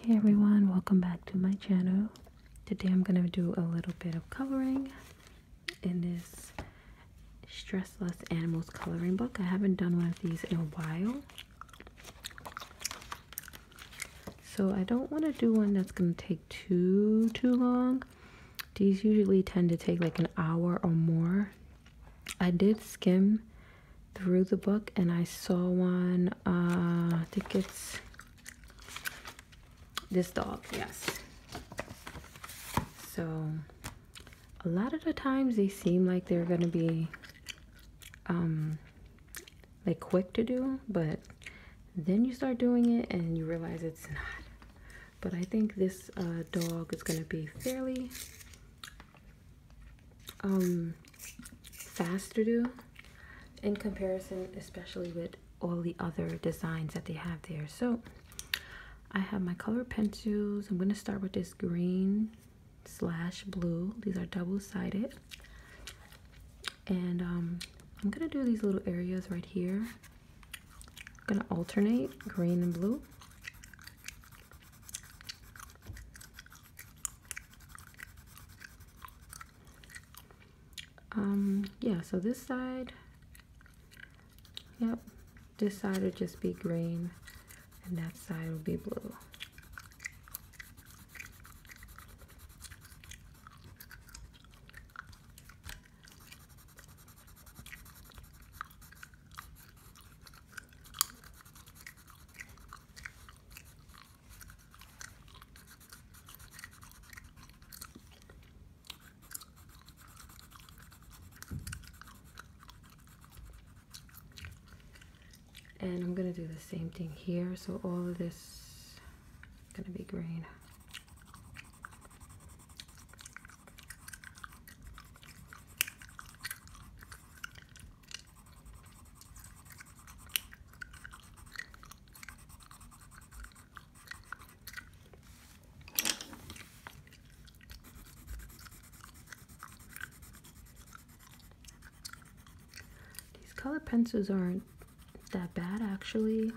Hey everyone, welcome back to my channel. Today I'm going to do a little bit of coloring in this Stressless Animals coloring book. I haven't done one of these in a while. So I don't want to do one that's going to take too, too long. These usually tend to take like an hour or more. I did skim through the book and I saw one uh, I think it's this dog yes so a lot of the times they seem like they're gonna be um like quick to do but then you start doing it and you realize it's not but I think this uh, dog is gonna be fairly um, fast to do in comparison, especially with all the other designs that they have there. So I have my color pencils. I'm going to start with this green slash blue. These are double-sided. And um, I'm going to do these little areas right here. I'm going to alternate green and blue um yeah so this side yep this side will just be green and that side will be blue and I'm going to do the same thing here. So all of this is going to be green. These color pencils aren't that bad actually.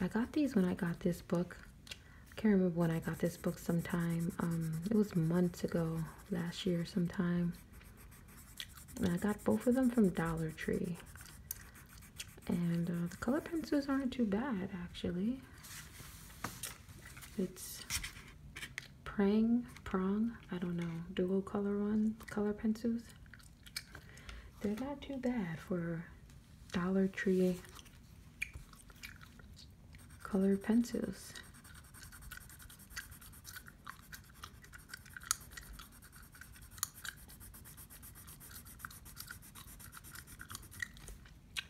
I got these when I got this book. I can't remember when I got this book sometime. Um, it was months ago, last year sometime. I got both of them from Dollar Tree. And uh, the color pencils aren't too bad, actually. It's Prang, Prong, I don't know, dual color one, color pencils. They're not too bad for Dollar Tree color pencils.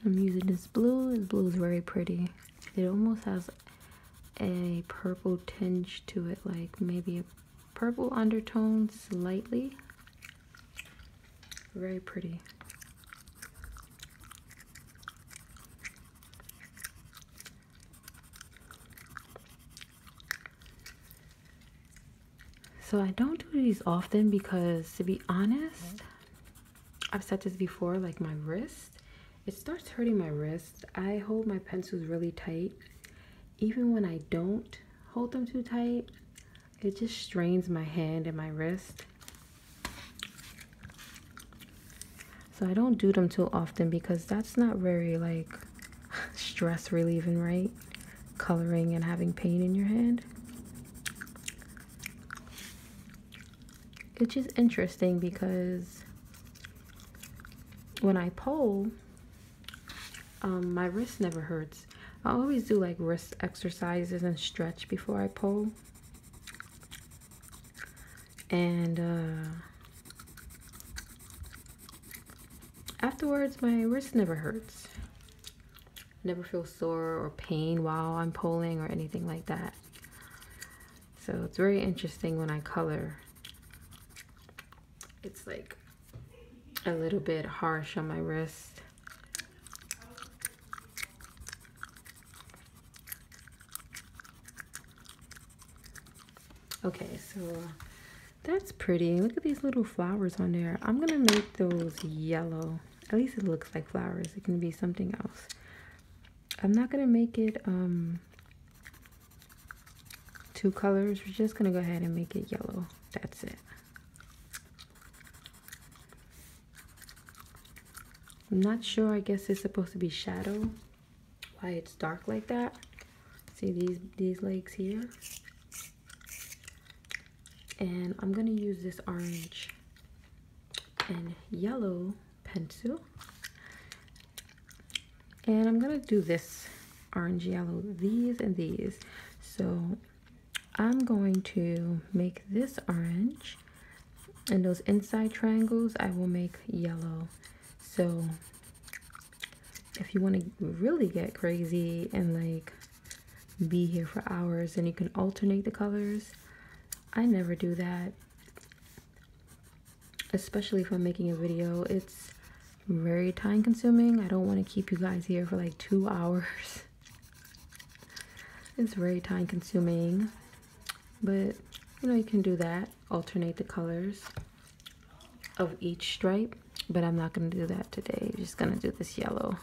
I'm using this blue. This blue is very pretty. It almost has a purple tinge to it, like maybe a purple undertone slightly. Very pretty. So I don't do these often because to be honest, I've said this before, like my wrist, it starts hurting my wrist. I hold my pencils really tight. Even when I don't hold them too tight, it just strains my hand and my wrist so i don't do them too often because that's not very like stress relieving right coloring and having pain in your hand it's just interesting because when i pull um, my wrist never hurts i always do like wrist exercises and stretch before i pull and uh, afterwards my wrist never hurts never feel sore or pain while I'm pulling or anything like that so it's very interesting when I color it's like a little bit harsh on my wrist Okay, so that's pretty. Look at these little flowers on there. I'm going to make those yellow. At least it looks like flowers. It can be something else. I'm not going to make it um, two colors. We're just going to go ahead and make it yellow. That's it. I'm not sure. I guess it's supposed to be shadow, why it's dark like that. See these, these legs here? And I'm gonna use this orange and yellow pencil. And I'm gonna do this orange yellow, these and these. So I'm going to make this orange and those inside triangles I will make yellow so if you want to really get crazy and like be here for hours and you can alternate the colors, I never do that. Especially if I'm making a video, it's very time consuming. I don't want to keep you guys here for like two hours. it's very time consuming but you know you can do that alternate the colors of each stripe but I'm not going to do that today just going to do this yellow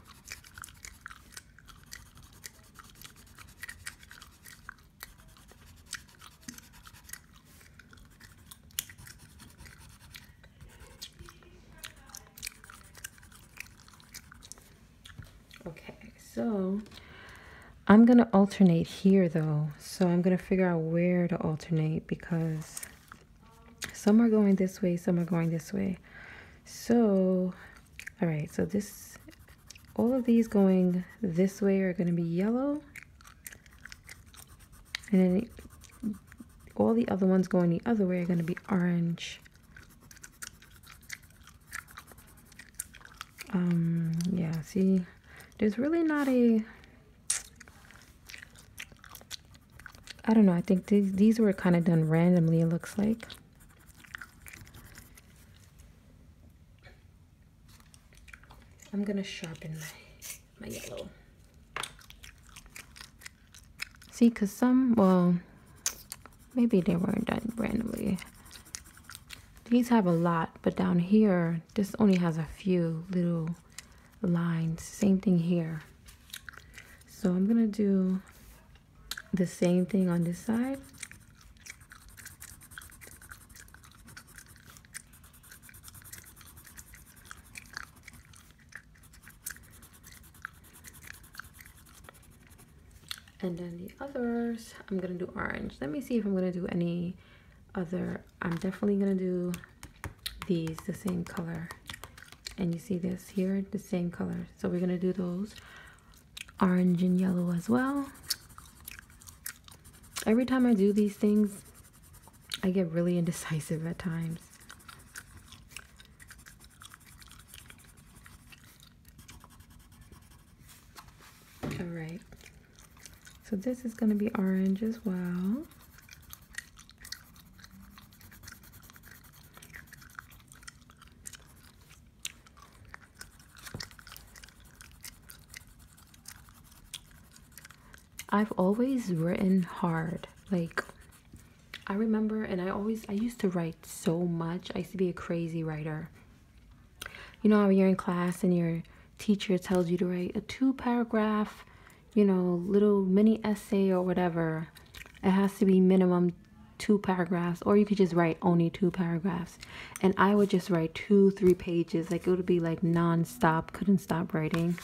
Okay, so I'm going to alternate here though. So I'm going to figure out where to alternate because some are going this way, some are going this way. So, all right, so this, all of these going this way are going to be yellow. And then all the other ones going the other way are going to be orange. Um, yeah, see, there's really not a I don't know I think these, these were kind of done randomly it looks like I'm gonna sharpen my, my yellow see because some well maybe they weren't done randomly these have a lot, but down here, this only has a few little lines. Same thing here. So I'm going to do the same thing on this side. and then the others I'm gonna do orange let me see if I'm gonna do any other I'm definitely gonna do these the same color and you see this here the same color so we're gonna do those orange and yellow as well every time I do these things I get really indecisive at times all right so this is going to be orange as well. I've always written hard. Like I remember and I always I used to write so much. I used to be a crazy writer you know how you're in class and your teacher tells you to write a two paragraph, you know, little mini essay or whatever. It has to be minimum two paragraphs, or you could just write only two paragraphs. And I would just write two, three pages. Like it would be like non-stop, couldn't stop writing.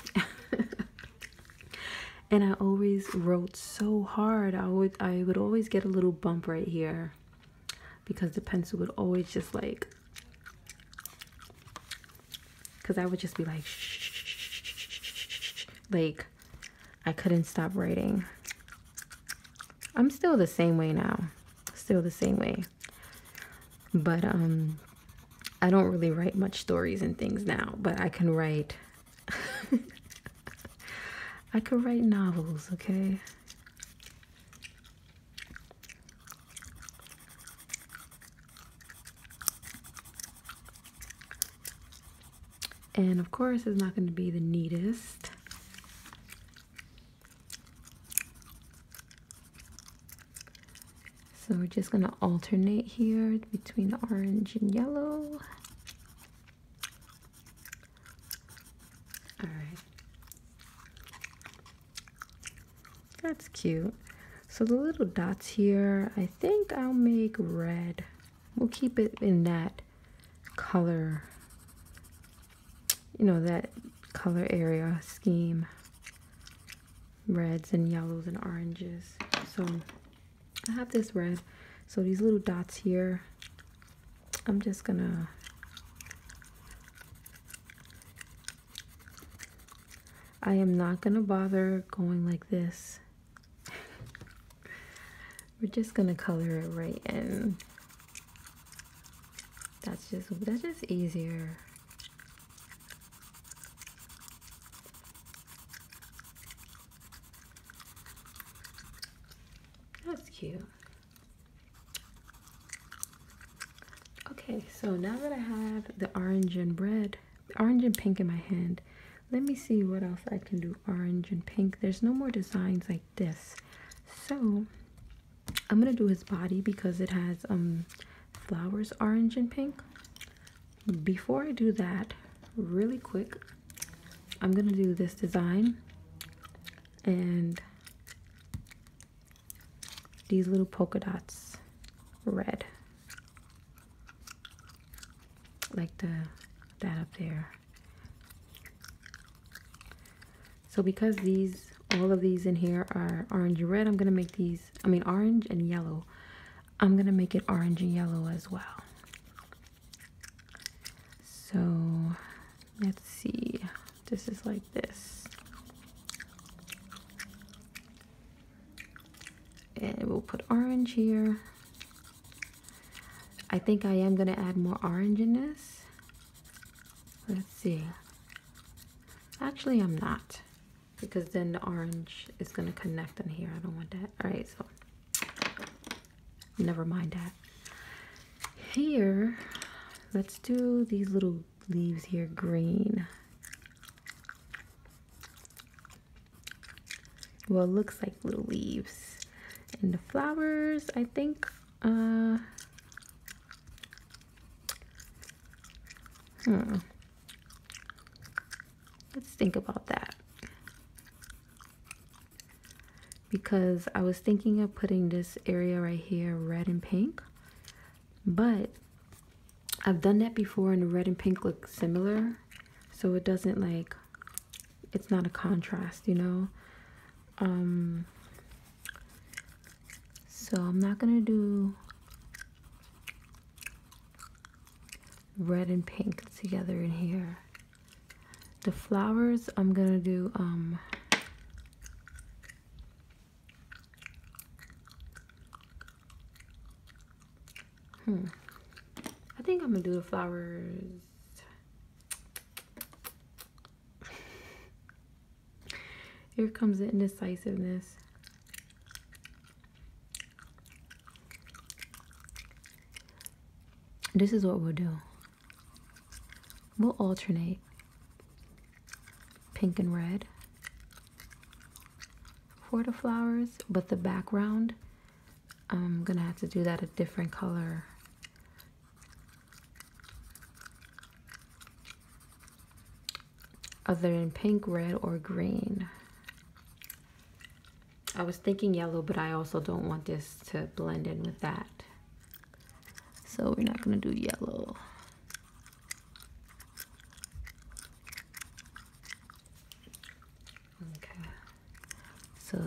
and I always wrote so hard. I would I would always get a little bump right here because the pencil would always just like because I would just be like, like, I couldn't stop writing. I'm still the same way now, still the same way. But um, I don't really write much stories and things now, but I can write. I could write novels, okay? And of course, it's not going to be the neatest. So we're just going to alternate here between orange and yellow. All right. That's cute. So the little dots here, I think I'll make red. We'll keep it in that color, you know, that color area scheme. Reds and yellows and oranges. So I have this red. So these little dots here, I'm just gonna I am not going to bother going like this. We're just going to color it right in. That's just, that's just easier. That's cute. Okay, so now that I have the orange and red, orange and pink in my hand, let me see what else I can do. Orange and pink. There's no more designs like this. So I'm gonna do his body because it has um flowers orange and pink. Before I do that, really quick, I'm gonna do this design and these little polka dots red like the that up there so because these all of these in here are orange and red I'm gonna make these I mean orange and yellow I'm gonna make it orange and yellow as well so let's see this is like this. And we'll put orange here. I think I am gonna add more orange in this. Let's see. Actually, I'm not because then the orange is gonna connect in here. I don't want that. All right, so never mind that. Here, let's do these little leaves here green. Well, looks like little leaves. And the flowers, I think, uh, hmm. Let's think about that. Because I was thinking of putting this area right here red and pink but I've done that before and the red and pink look similar so it doesn't like it's not a contrast you know um so I'm not gonna do red and pink together in here the flowers I'm gonna do um Hmm. I think I'm gonna do the flowers. Here comes the indecisiveness. This is what we'll do. We'll alternate pink and red for the flowers but the background I'm gonna have to do that a different color other than pink red or green I was thinking yellow but I also don't want this to blend in with that so we're not gonna do yellow Okay. So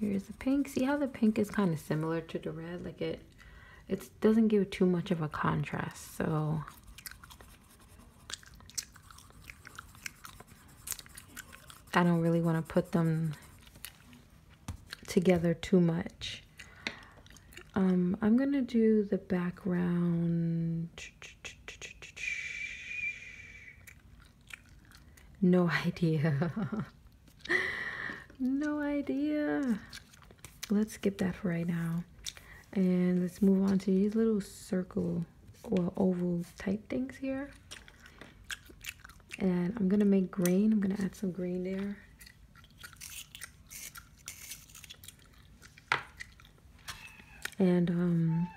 here's the pink. See how the pink is kind of similar to the red? Like it, it doesn't give too much of a contrast. So I don't really want to put them together too much. Um, I'm going to do the background. No idea. no idea. Let's skip that for right now. And let's move on to these little circle or oval type things here. And I'm going to make green. I'm going to add some green there and um,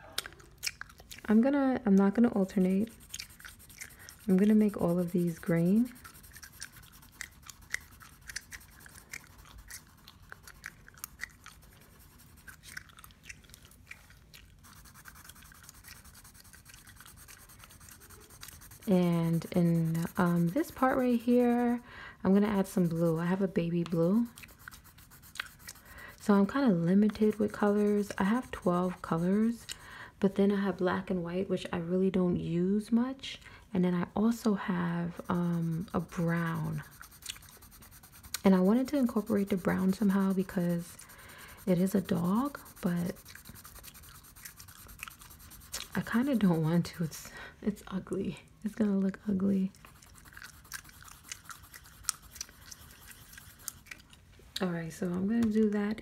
i'm gonna i'm not gonna alternate i'm gonna make all of these green and in um, this part right here I'm gonna add some blue. I have a baby blue. So I'm kind of limited with colors. I have 12 colors, but then I have black and white, which I really don't use much. And then I also have um, a brown. And I wanted to incorporate the brown somehow because it is a dog, but I kind of don't want to. It's, it's ugly. It's gonna look ugly. Alright, so I'm gonna do that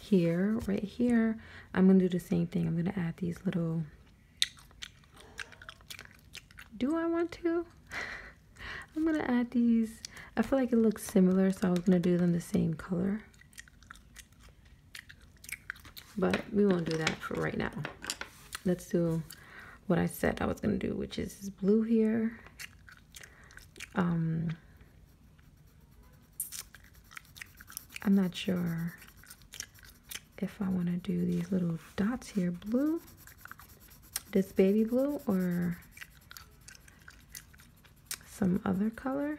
here, right here. I'm gonna do the same thing. I'm gonna add these little... Do I want to? I'm gonna add these. I feel like it looks similar, so I was gonna do them the same color. But we won't do that for right now. Let's do what I said I was going to do, which is blue here. Um, I'm not sure if I want to do these little dots here. Blue, this baby blue, or some other color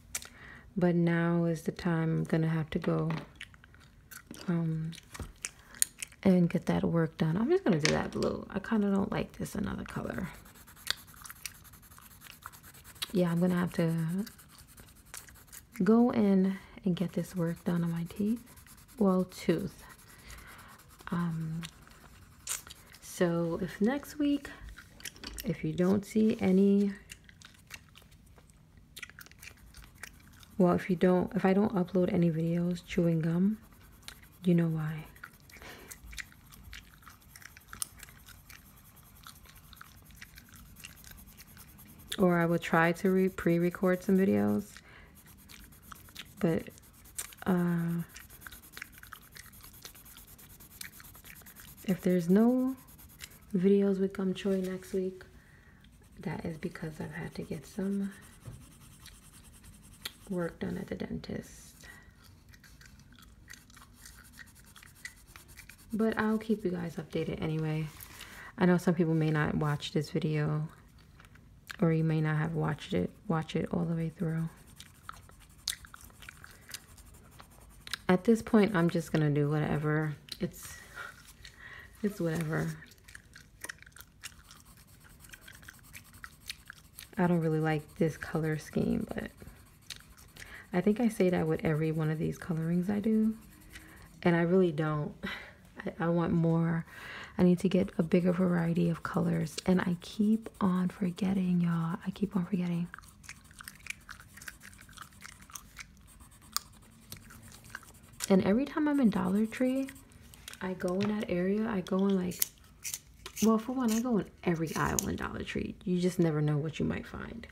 but now is the time I'm gonna have to go um and get that work done. I'm just gonna do that blue. I kind of don't like this another color. Yeah, I'm gonna have to go in and get this work done on my teeth. Well, tooth. Um, so if next week, if you don't see any, well, if you don't, if I don't upload any videos chewing gum, you know why. Or I will try to pre-record some videos, but uh, if there's no videos with gum choy next week, that is because I've had to get some work done at the dentist. But I'll keep you guys updated anyway. I know some people may not watch this video or you may not have watched it watch it all the way through. At this point, I'm just gonna do whatever. It's, it's whatever. I don't really like this color scheme, but I think I say that with every one of these colorings I do. And I really don't. I, want more. I need to get a bigger variety of colors. And I keep on forgetting, y'all. I keep on forgetting. And every time I'm in Dollar Tree, I go in that area, I go in like, well, for one, I go in every aisle in Dollar Tree. You just never know what you might find.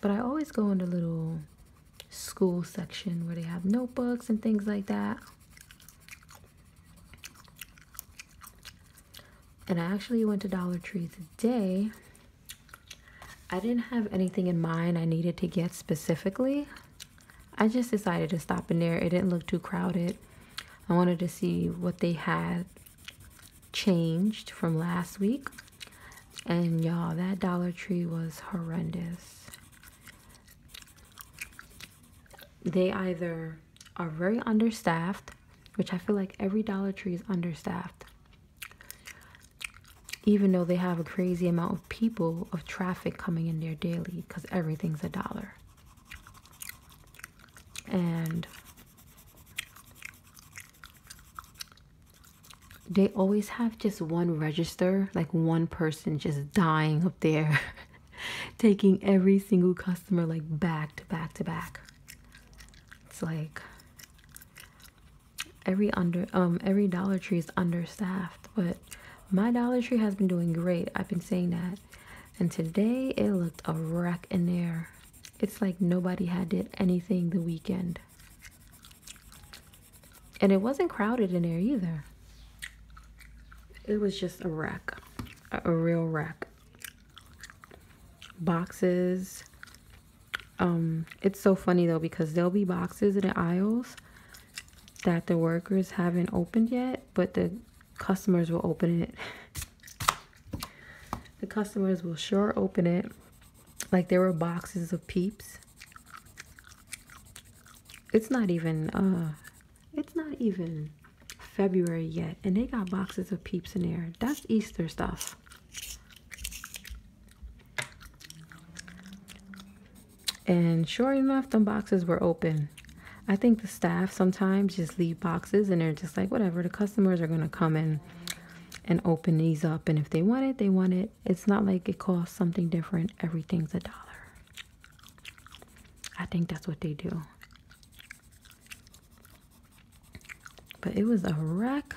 But I always go in the little school section where they have notebooks and things like that and I actually went to Dollar Tree today. I didn't have anything in mind I needed to get specifically. I just decided to stop in there. It didn't look too crowded. I wanted to see what they had changed from last week. And y'all, that Dollar Tree was horrendous. They either are very understaffed which I feel like every Dollar Tree is understaffed. Even though they have a crazy amount of people of traffic coming in there daily because everything's a dollar. And they always have just one register, like one person just dying up there, taking every single customer like back to back to back it's like every under um every dollar tree is understaffed but my dollar tree has been doing great i've been saying that and today it looked a wreck in there it's like nobody had did anything the weekend and it wasn't crowded in there either it was just a wreck a, a real wreck boxes um, it's so funny though because there'll be boxes in the aisles that the workers haven't opened yet but the customers will open it the customers will sure open it like there were boxes of peeps it's not even uh, it's not even february yet and they got boxes of peeps in there. That's Easter stuff. And sure enough, the boxes were open. I think the staff sometimes just leave boxes and they're just like, whatever, the customers are going to come in and open these up. And if they want it, they want it. It's not like it costs something different. Everything's a dollar. I think that's what they do but it was a wreck.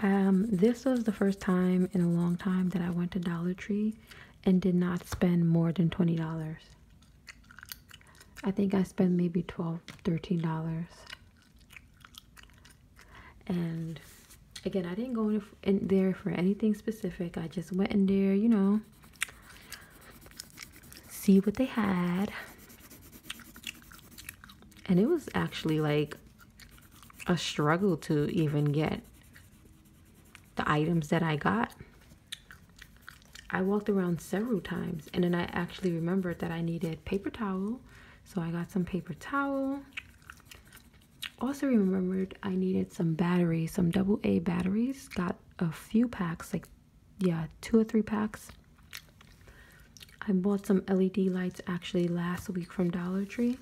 Um, this was the first time in a long time that I went to Dollar Tree and did not spend more than $20. I think I spent maybe $12, $13. And again, I didn't go in there for anything specific. I just went in there, you know, see what they had and it was actually like a struggle to even get the items that I got. I walked around several times and then I actually remembered that I needed paper towel. So I got some paper towel. Also remembered I needed some batteries, some double A batteries. Got a few packs, like yeah, two or three packs. I bought some LED lights actually last week from Dollar Tree.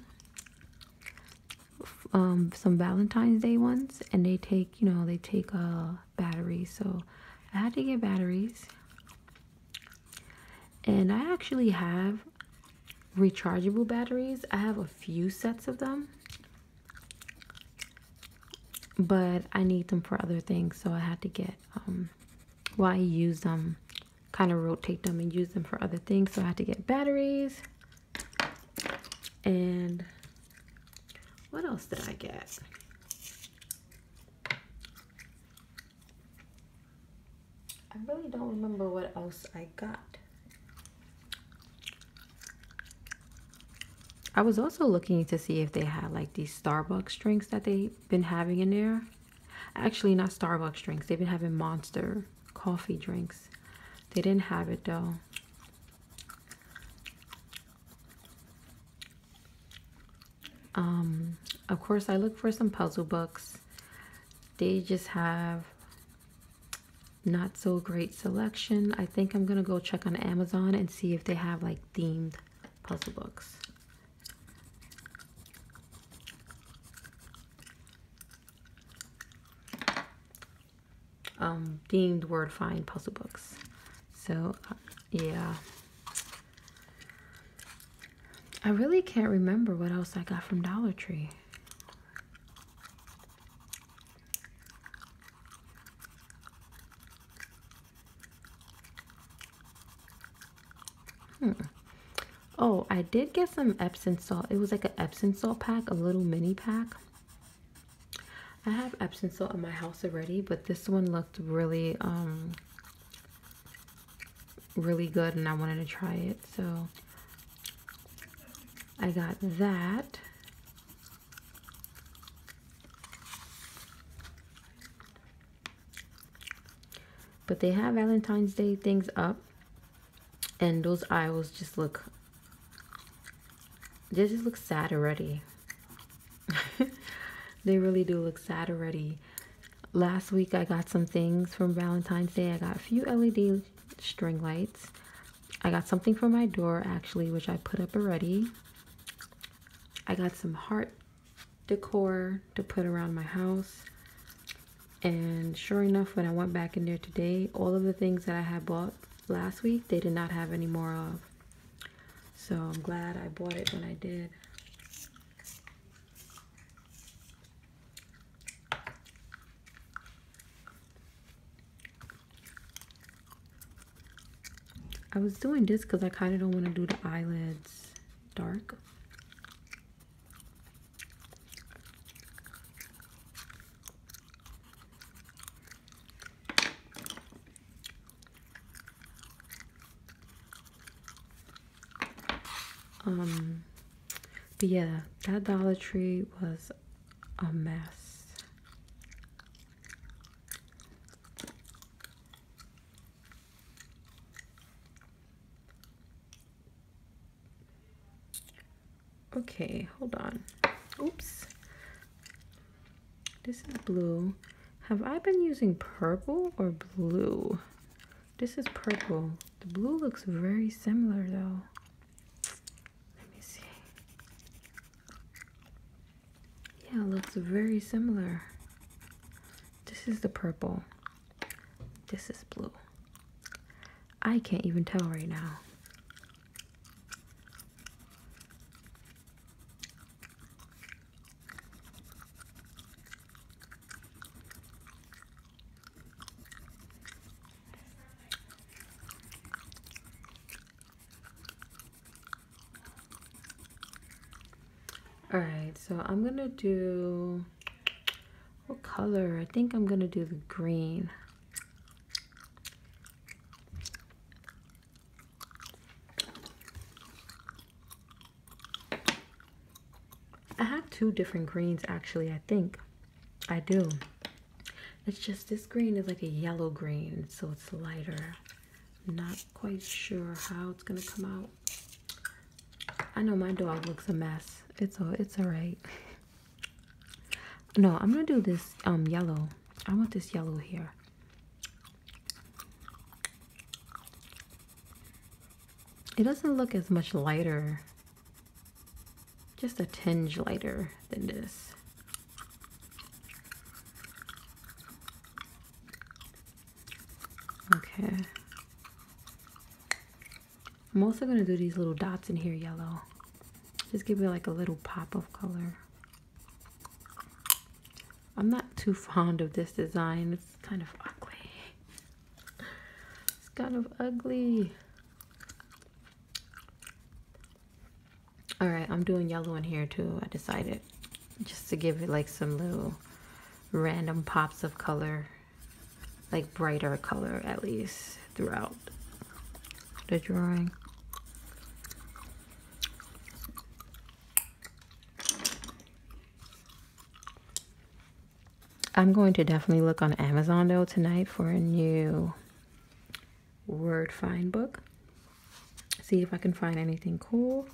Um, some Valentine's Day ones, and they take, you know, they take a uh, battery. So I had to get batteries. And I actually have rechargeable batteries. I have a few sets of them. But I need them for other things, so I had to get um, why I use them, kind of rotate them and use them for other things. So I had to get batteries. And what else did I get? I really don't remember what else I got. I was also looking to see if they had like these Starbucks drinks that they been having in there actually not starbucks drinks they've been having monster coffee drinks they didn't have it though um, of course i look for some puzzle books they just have not so great selection i think i'm gonna go check on amazon and see if they have like themed puzzle books um, themed word find puzzle books. So, uh, yeah. I really can't remember what else I got from Dollar Tree. Hmm. Oh, I did get some Epsom salt. It was like an Epsom salt pack, a little mini pack. I have Epsom salt in my house already, but this one looked really, um, really good and I wanted to try it. So I got that. But they have Valentine's Day things up. And those aisles just look, they just look sad already. they really do look sad already. Last week I got some things from Valentine's Day. I got a few LED string lights. I got something for my door actually, which I put up already. I got some heart decor to put around my house. And sure enough, when I went back in there today, all of the things that I had bought last week, they did not have any more of. So I'm glad I bought it when I did. I was doing this because I kind of don't want to do the eyelids dark. Um, but yeah, that Dollar Tree was a mess. Okay, hold on. Oops. This is blue. Have I been using purple or blue? This is purple. The blue looks very similar though. Let me see. Yeah, looks very similar. This is the purple. This is blue. I can't even tell right now all right so i'm gonna do what color i think i'm gonna do the green i have two different greens actually i think i do it's just this green is like a yellow green so it's lighter I'm not quite sure how it's gonna come out. I know my dog looks a mess. It's all it's alright. no, I'm gonna do this um yellow. I want this yellow here. It doesn't look as much lighter, just a tinge lighter than this. Okay. I'm also going to do these little dots in here yellow. Just give it like a little pop of color. I'm not too fond of this design. It's kind of ugly. It's kind of ugly. Alright, I'm doing yellow in here too. I decided just to give it like some little random pops of color like brighter color at least throughout the drawing I'm going to definitely look on Amazon though tonight for a new word find book see if I can find anything cool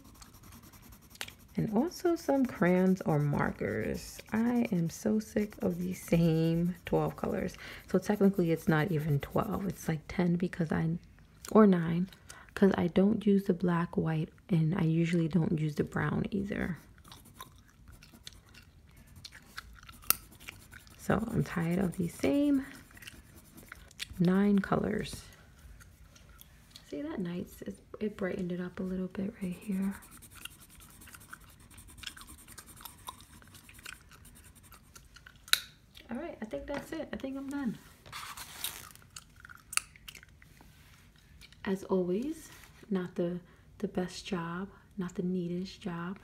and also some crayons or markers. I am so sick of these same 12 colors. So technically it's not even 12. It's like 10 because I, or 9, because I don't use the black, white, and I usually don't use the brown either. So I'm tired of these same nine colors. See that nice? it brightened it up a little bit right here. All right, I think that's it. I think I'm done. As always, not the the best job, not the neatest job.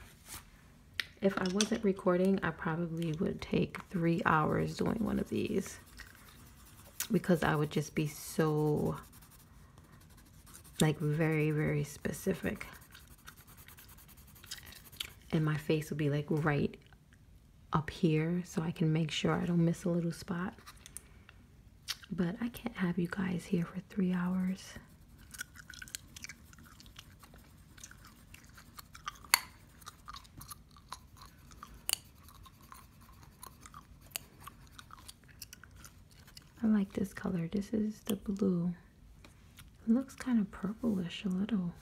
If I wasn't recording, I probably would take three hours doing one of these because I would just be so like very very specific and my face would be like right up here so I can make sure I don't miss a little spot but I can't have you guys here for three hours I like this color. This is the blue. looks kind of purplish a little.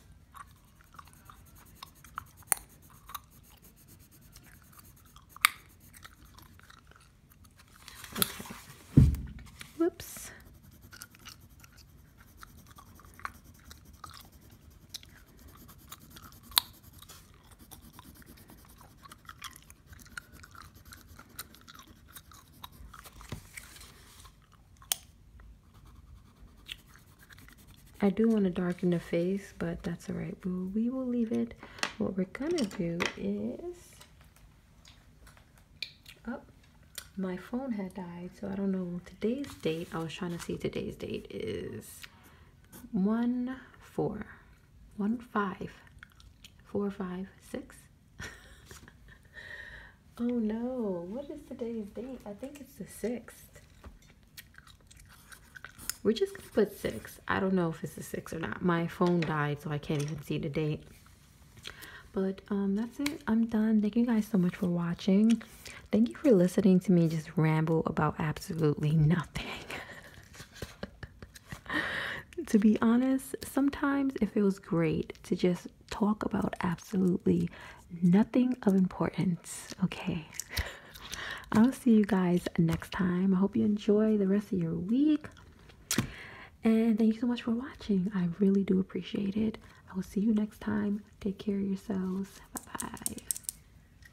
Okay. Whoops. I do want to darken the face, but that's all right. We will leave it. What we're going to do is... Oh, my phone had died, so I don't know today's date. I was trying to see today's date is one four one five four five six oh no what is today's date i think it's the sixth we're just gonna put six i don't know if it's the six or not my phone died so i can't even see the date but um, that's it i'm done thank you guys so much for watching thank you for listening to me just ramble about absolutely nothing to be honest, sometimes it feels great to just talk about absolutely nothing of importance. Okay. I'll see you guys next time. I hope you enjoy the rest of your week. And thank you so much for watching. I really do appreciate it. I will see you next time. Take care of yourselves. Bye bye.